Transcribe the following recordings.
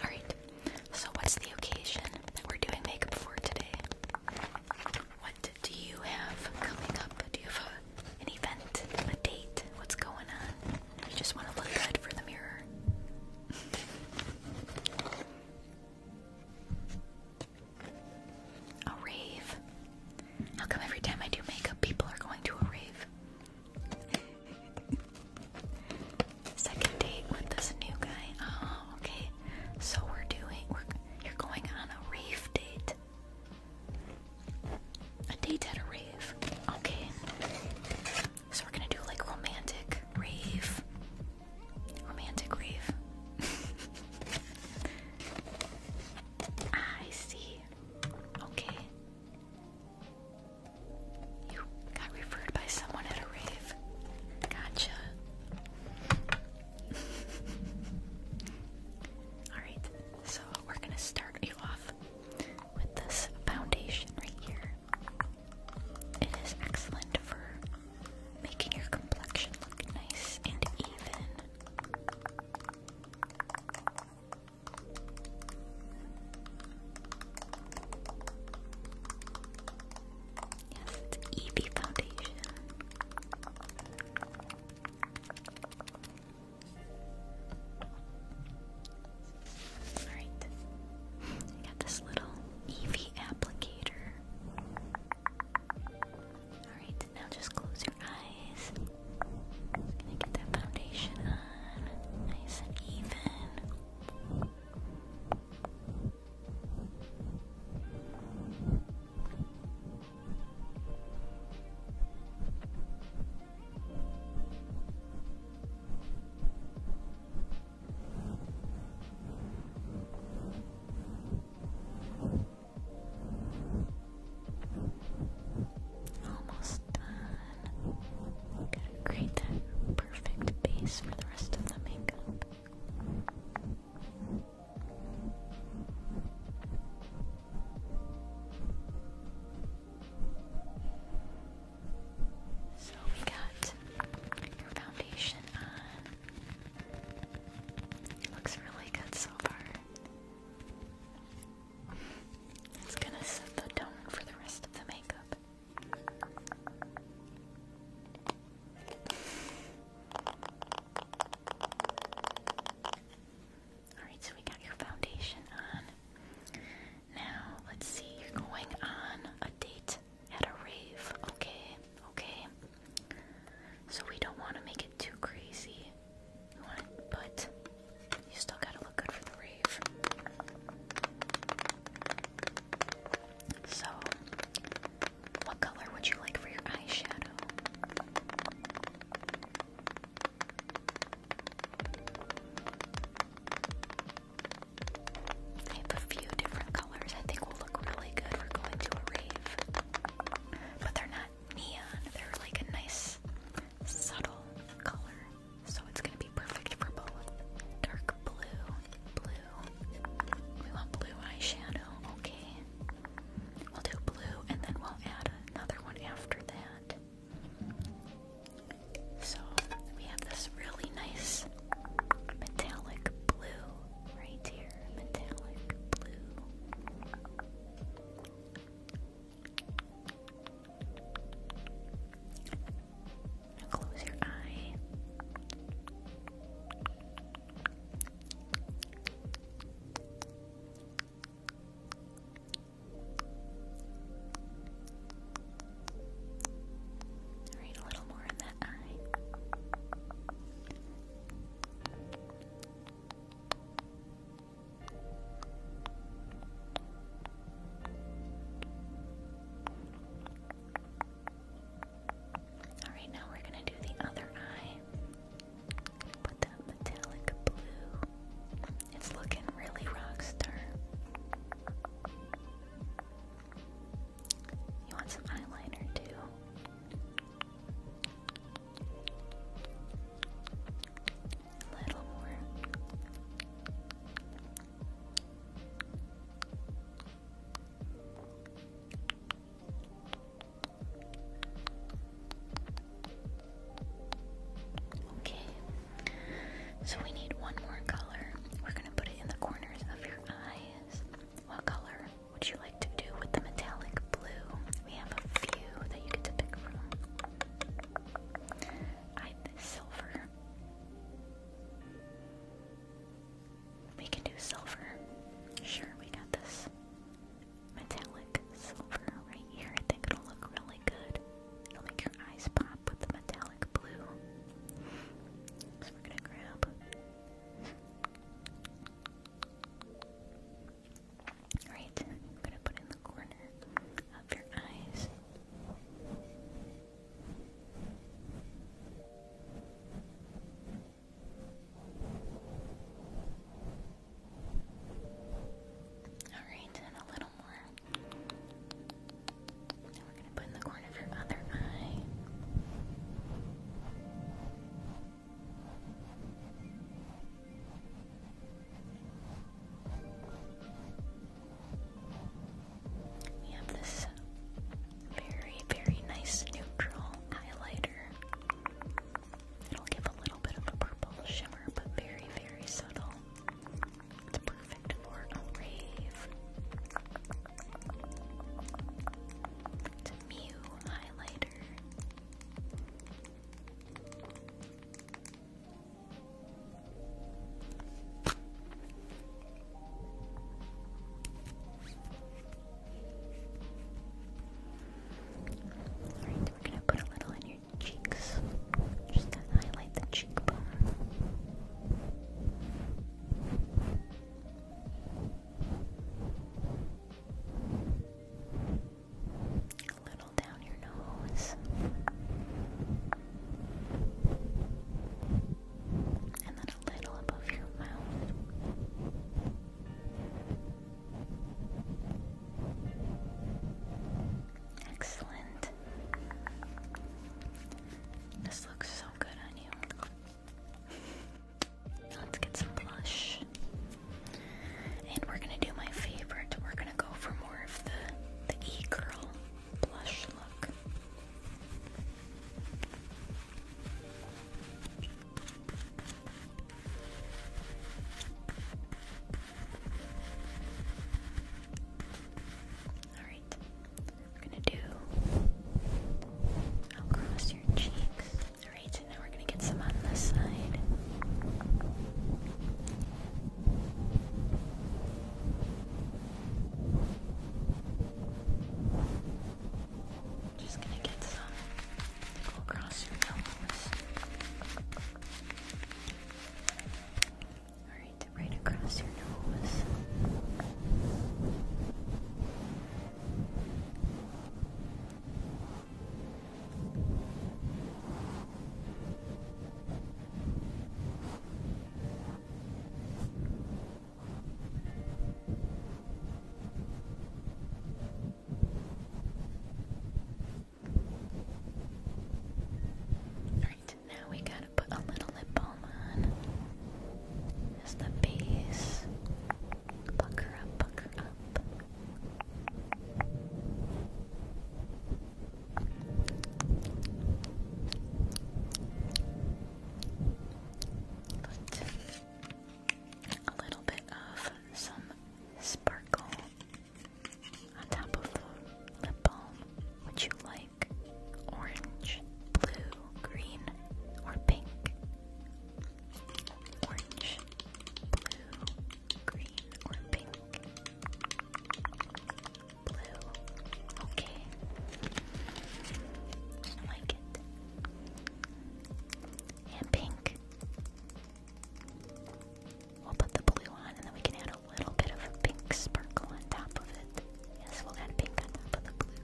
Alright, so what's the occasion that we're doing makeup for today? What do you have coming up? Do you have an event, a date? What's going on? You just want to look good for the mirror. a rave. How come every time I do makeup, people are going to a rave? Second date with this new guy. Oh, okay. So we're doing we're you're going on a rave date. A date at a rave. Okay. So we're gonna do like romantic rave. Romantic rave. Ah, I see. Okay. You got referred by someone at a rave. Gotcha. Alright, so we're gonna start you off with this foundation right here. It is excellent for making your complexion look nice and even. Yes, it's Evie Foundation. Alright. got this little Eevee applicator. Alright, now just close your eyes. Just gonna get that foundation on, nice and even. Almost done. Gotta create that perfect base for the rest of the makeup. So we got your foundation on. looks really good so far. It's gonna set the tone for the rest of the makeup. Alright, so we got your foundation on. Now, let's see, you're going on a date at a rave. Okay, okay. So we don't want to make it too crazy but you still gotta look good for the rave. So, what color would you like for your eyeshadow? I have a few different colors I think will look really good for going to a rave. But they're not neon, they're like a nice subtle color. So it's gonna be perfect for both. Dark blue, blue. We want blue eyeshadow, okay. We'll do blue and then we'll add another one after that. So we have this really nice metallic blue right here. Metallic blue close your eye. Alright, a little more in that eye. Alright, now we're going to do the other eye. Put that metallic blue. It's looking really rock You want some eyeliner too? Okay, so we need one more color. We're going to put it in the corners of your eyes. What color? Would you like to do with the metallic blue? We have a few that you get to pick from. I silver. We can do silver. Sure, we got this. Metallic silver right here. I think it'll look really good. It'll make your eyes pop with the metallic blue. So we're gonna grab. Alright, I'm gonna put in the corner of your eyes. Alright, and a little more. Now we're gonna put in the corner of your other eye. We have this very, very nice neutral highlighter. It'll give a little bit of a purple shimmer, but very, very subtle. It's perfect for a rave. It's a highlighter glitter. Alright, we're gonna put a little in your cheeks. Just gonna highlight the cheekbone. A little down your nose. And then a little above your mouth. Excellent. This looks so good on you. Let's get some blush. And we're gonna do my favorite. We're gonna go for more of the the e-girl blush look. Alright. We're gonna do across your cheeks. Alright, so now we're gonna get some on this side. Just gonna get some across your elbows. Alright, right across your nose. Right, now we got put a little lip balm on. Just the base. Pucker up, pucker up. Put a little bit of some sparkle on top of the lip balm. Would you like? orange, blue, green, or pink. Orange, blue, green, or pink. Blue. Okay. I like it. And pink. We'll put the blue on and then we can add a little bit of a pink sparkle on top of it. Yes, we'll add pink on top of the blue.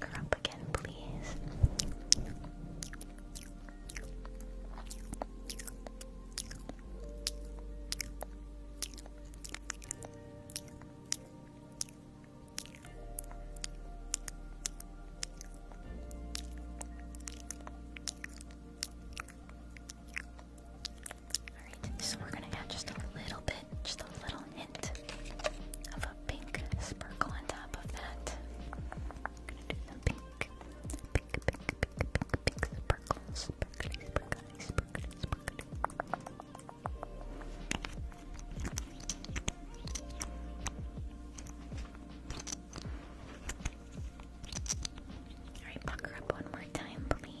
her up again, please. Alright, so we're gonna add just a little bit, just a little hint of a pink sparkle on top of that. I'm gonna do the pink, pink, pink, Alright, buck up one more time, please.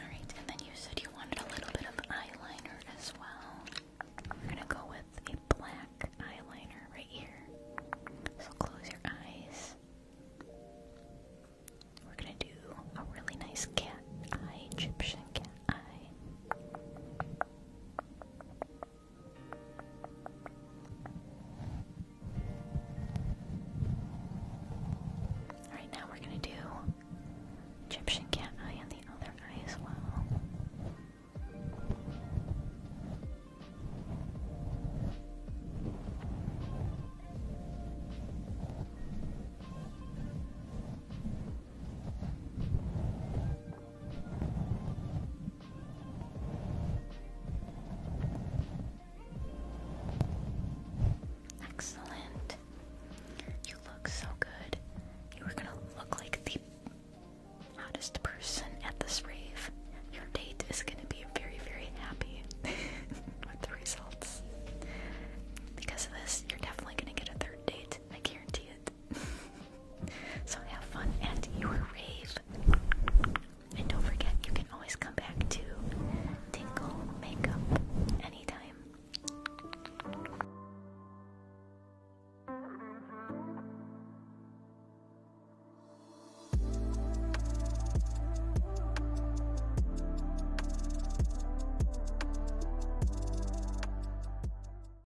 Alright, and then you said you wanted a little bit of eyeliner as well. We're gonna go with a black eyeliner right here. So close your eyes. We're gonna do a really nice cat eye, Egyptian cat eye. Alright, now we're gonna do Egyptian cat eye on the other eye as well. Excellent. You look so good. You are gonna look like the hottest person at this rave. Your date is gonna be very, very happy with the results. Because of this, you're definitely gonna get a third date. I guarantee it. so have fun at your rave. And don't forget, you can always come back to Tingle Makeup anytime.